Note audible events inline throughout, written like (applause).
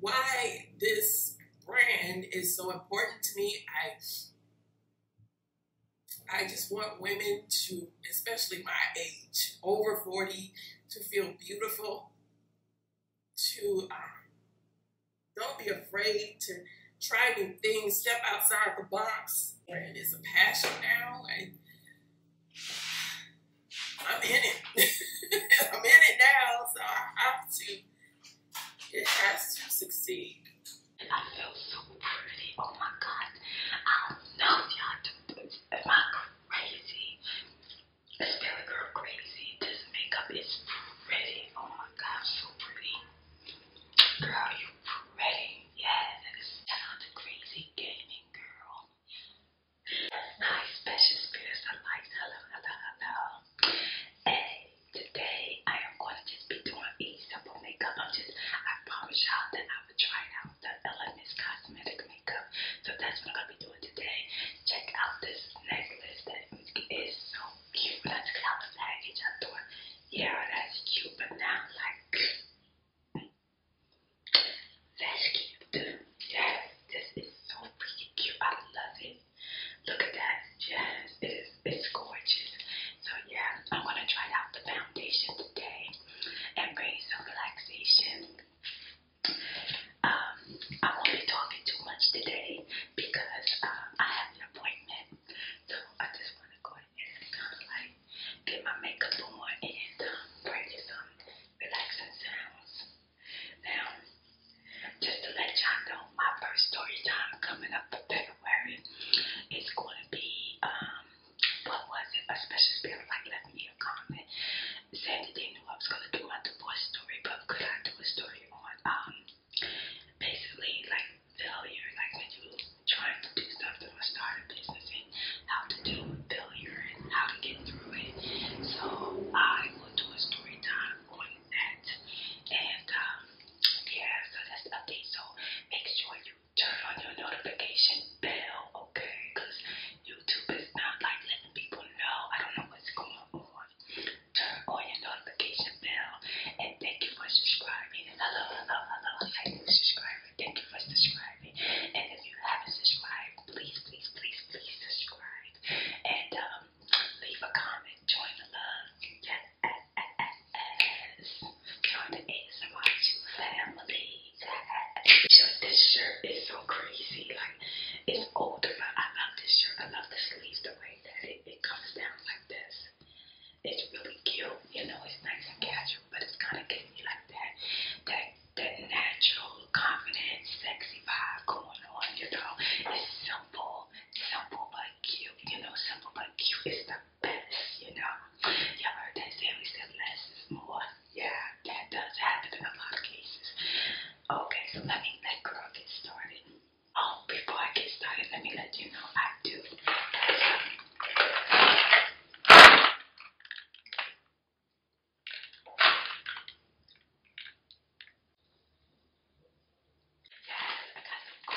Why this brand is so important to me, I I just want women to, especially my age, over 40, to feel beautiful, to um, don't be afraid to try new things, step outside the box. Where it is a passion now, like I'm in it. (laughs) I'm in it now, so I have to. It has to succeed. And I feel so pretty. Oh my God. I do y'all Am I crazy? This Girl crazy. This makeup is pretty. Oh my God, so pretty. Girl, you pretty. Yeah, that is not the crazy gaming girl. Hi, special spirits. I like hello, hello, hello. Hey, today I am going to just be doing a simple makeup. I'm just, I promise y'all that I would try out the Elements Cosmetic Makeup. So that's what I'm going to be doing today. Check out this necklace that is so Cupid's calendar. It's a door. Yeah, that's Cupid now. Like, that's cute. Yes, this is so pretty cute. I love it. Look at that. Yes, it is. It's gorgeous. So yeah, I'm gonna try out the foundation today and bring some relaxation. Um, I won't be talking too much today because um, I have an appointment so I just want to go ahead and like get my makeup on and bring you some relaxing sounds. Now, just to let y'all know, my first story time coming up for February is going to be um, what was it? A special spirit like left me a comment saying they knew I was going to do my divorce story, but could I do a story on um basically like failure, like when you trying to do something or start a business and how to deal with failure and how to get through it. So I will do a story time on that. And um, yeah, so that's the update. So make sure you turn on your notification bell, okay? Because YouTube is not like letting people know. I don't know what's going on turn on your notification bell. And thank you for subscribing. Hello, hello, hello. I did subscribe. Thank you for subscribing. And if you haven't subscribed, please, please, please, please subscribe. And um, leave a comment. Join the love. Yes, yes, yes, yes, Join the asmr family. This shirt is so crazy. Like, it's older, but I love this shirt. I love the sleeves, the way that it, it comes down like this. It's really cute, you know, it's nice and casual, but it's kind of giving you like that, that, that natural, confident, sexy vibe going on, you know. It's simple, simple but cute, you know, simple but cute is the best, you know. Y'all heard that say we said less is more. Yeah, that does happen in a lot of cases. Okay, so let me let girl get started. Oh, before I get started, let me let you know I do Yes, I got some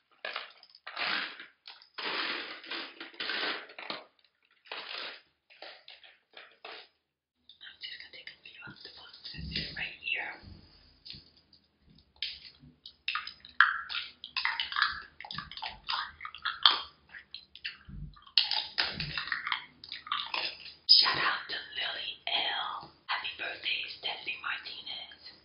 I'm just gonna take a few of the ones right here. Shout out to Lily L. Happy birthday, Stephanie Martinez.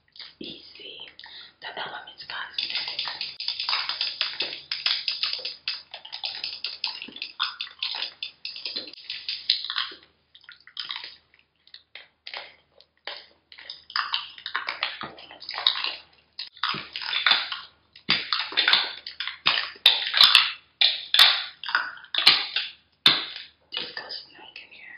easily. The elements cosmetic. This goes snug in here.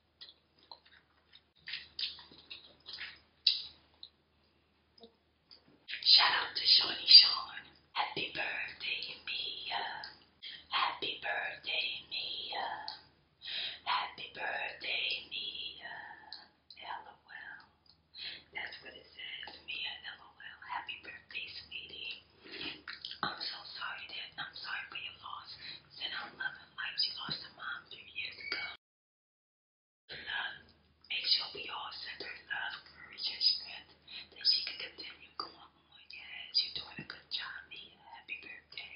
Shout out to Shawnee Sean. Happy birthday, Mia. Happy birthday, Mia. Happy birthday, Mia. LOL. That's what it says, Mia. LOL. Happy birthday, sweetie. I'm so sorry that I'm sorry for your loss. Send out love she lost her mom three years ago. Love, make sure we all send her love, courage, and strength that she can continue going on. Yes, you doing a good job, Mia. Happy birthday.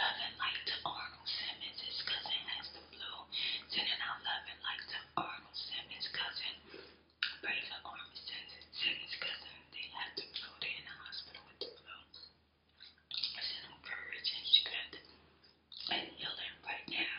Loving like to Arnold Simmons, cousin has the blue. Sending out loving like to Arnold Simmons' cousin. Pray for Arnold Simmons' cousin. They have the blue. They're in the hospital with the blue. Send them courage and strength and healing right now.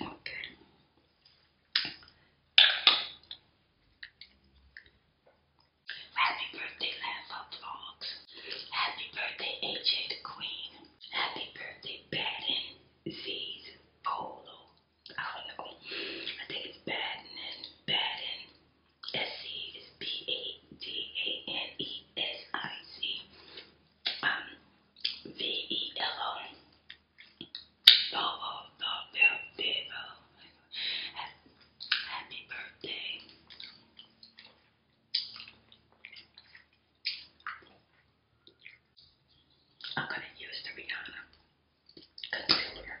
Okay. Happy birthday, Lampa Vlogs. Happy birthday, AJ the Queen. Happy birthday, Baden Z's Polo. I don't know. I think it's Baden and SC is B A T A N E S I C. Um, V E L O. Volvo, Happy birthday. I'm going to use the Rihanna concealer.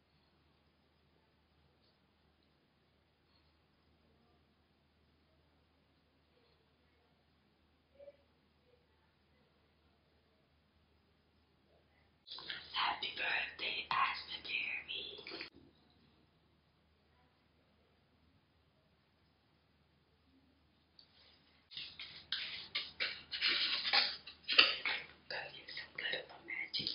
Happy birthday, Asma Jeremy. to get some glitter for magic.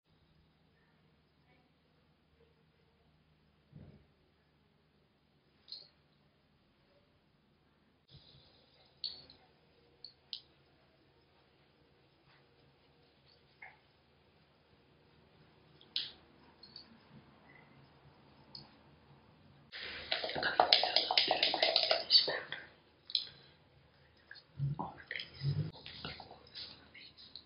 I'm going to put a little bit of my finish powder on my face. Of course, on my face.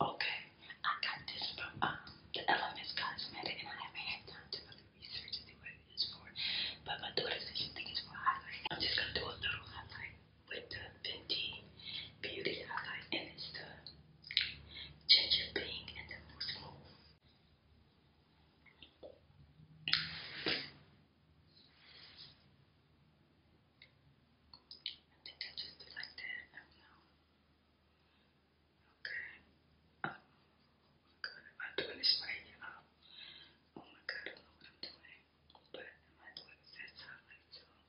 Okay, I got this from um, the Elements Cosmetic, and I haven't had time to really research to see what it is for. But my daughter says she for highlight. I'm just gonna do a little highlight with the Fenty Beauty highlight, and it's the ginger pink and the moose move. I think I just did like that. Okay. oh my god, am doing this right, you Oh my god, I don't know what I'm doing. But am I doing this at time I don't know.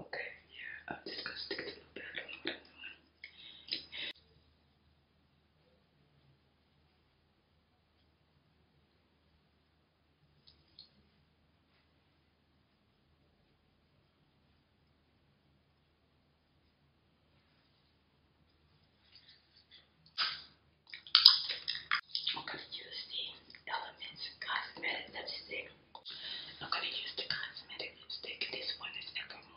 Okay, yeah, I'm just gonna stick to my bed. I don't know what I'm doing. I'm gonna use the Elements Cosmetic Lipstick I'm going to use the cosmetic lipstick. This one is Evermore.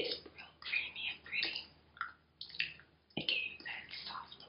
It's real creamy and pretty. It gave you that soft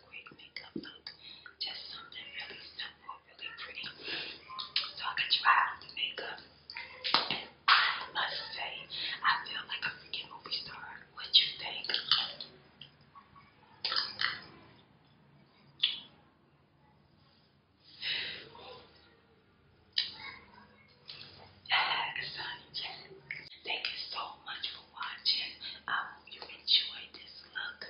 quick makeup look. Just something really simple, really pretty. So I could try out the makeup. I must say, I feel like a freaking movie star. What you think? (sighs) Thank you so much for watching. I hope you enjoyed this look.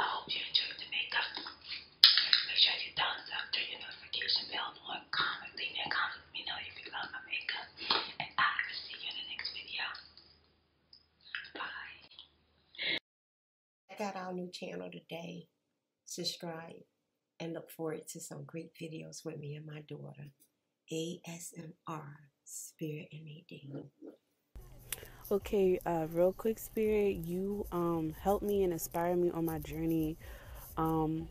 I hope you enjoyed the makeup. Make sure you thumbs up, turn your notification bell on, comment, leave me a comment, let me know you love my makeup. And I will see you in the next video. Bye. Check out our new channel today. Subscribe and look forward to some great videos with me and my daughter. ASMR spirit in me, Dean. Okay, uh, real quick, spirit, you um, helped me and inspired me on my journey um,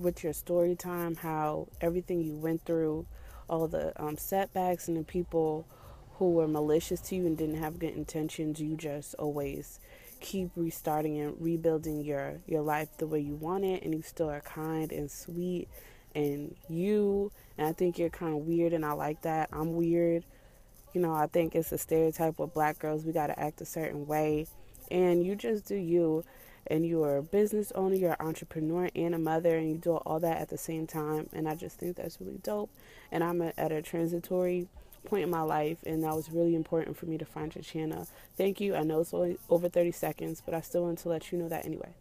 with your story time, how everything you went through, all the um, setbacks, and the people who were malicious to you and didn't have good intentions, you just always keep restarting and rebuilding your your life the way you want it and you still are kind and sweet and you and I think you're kind of weird and I like that. I'm weird. You know, I think it's a stereotype with black girls. We got to act a certain way. And you just do you. And you are a business owner, you're an entrepreneur, and a mother, and you do all that at the same time. And I just think that's really dope. And I'm at a transitory point in my life, and that was really important for me to find your channel. Thank you. I know it's over 30 seconds, but I still want to let you know that anyway.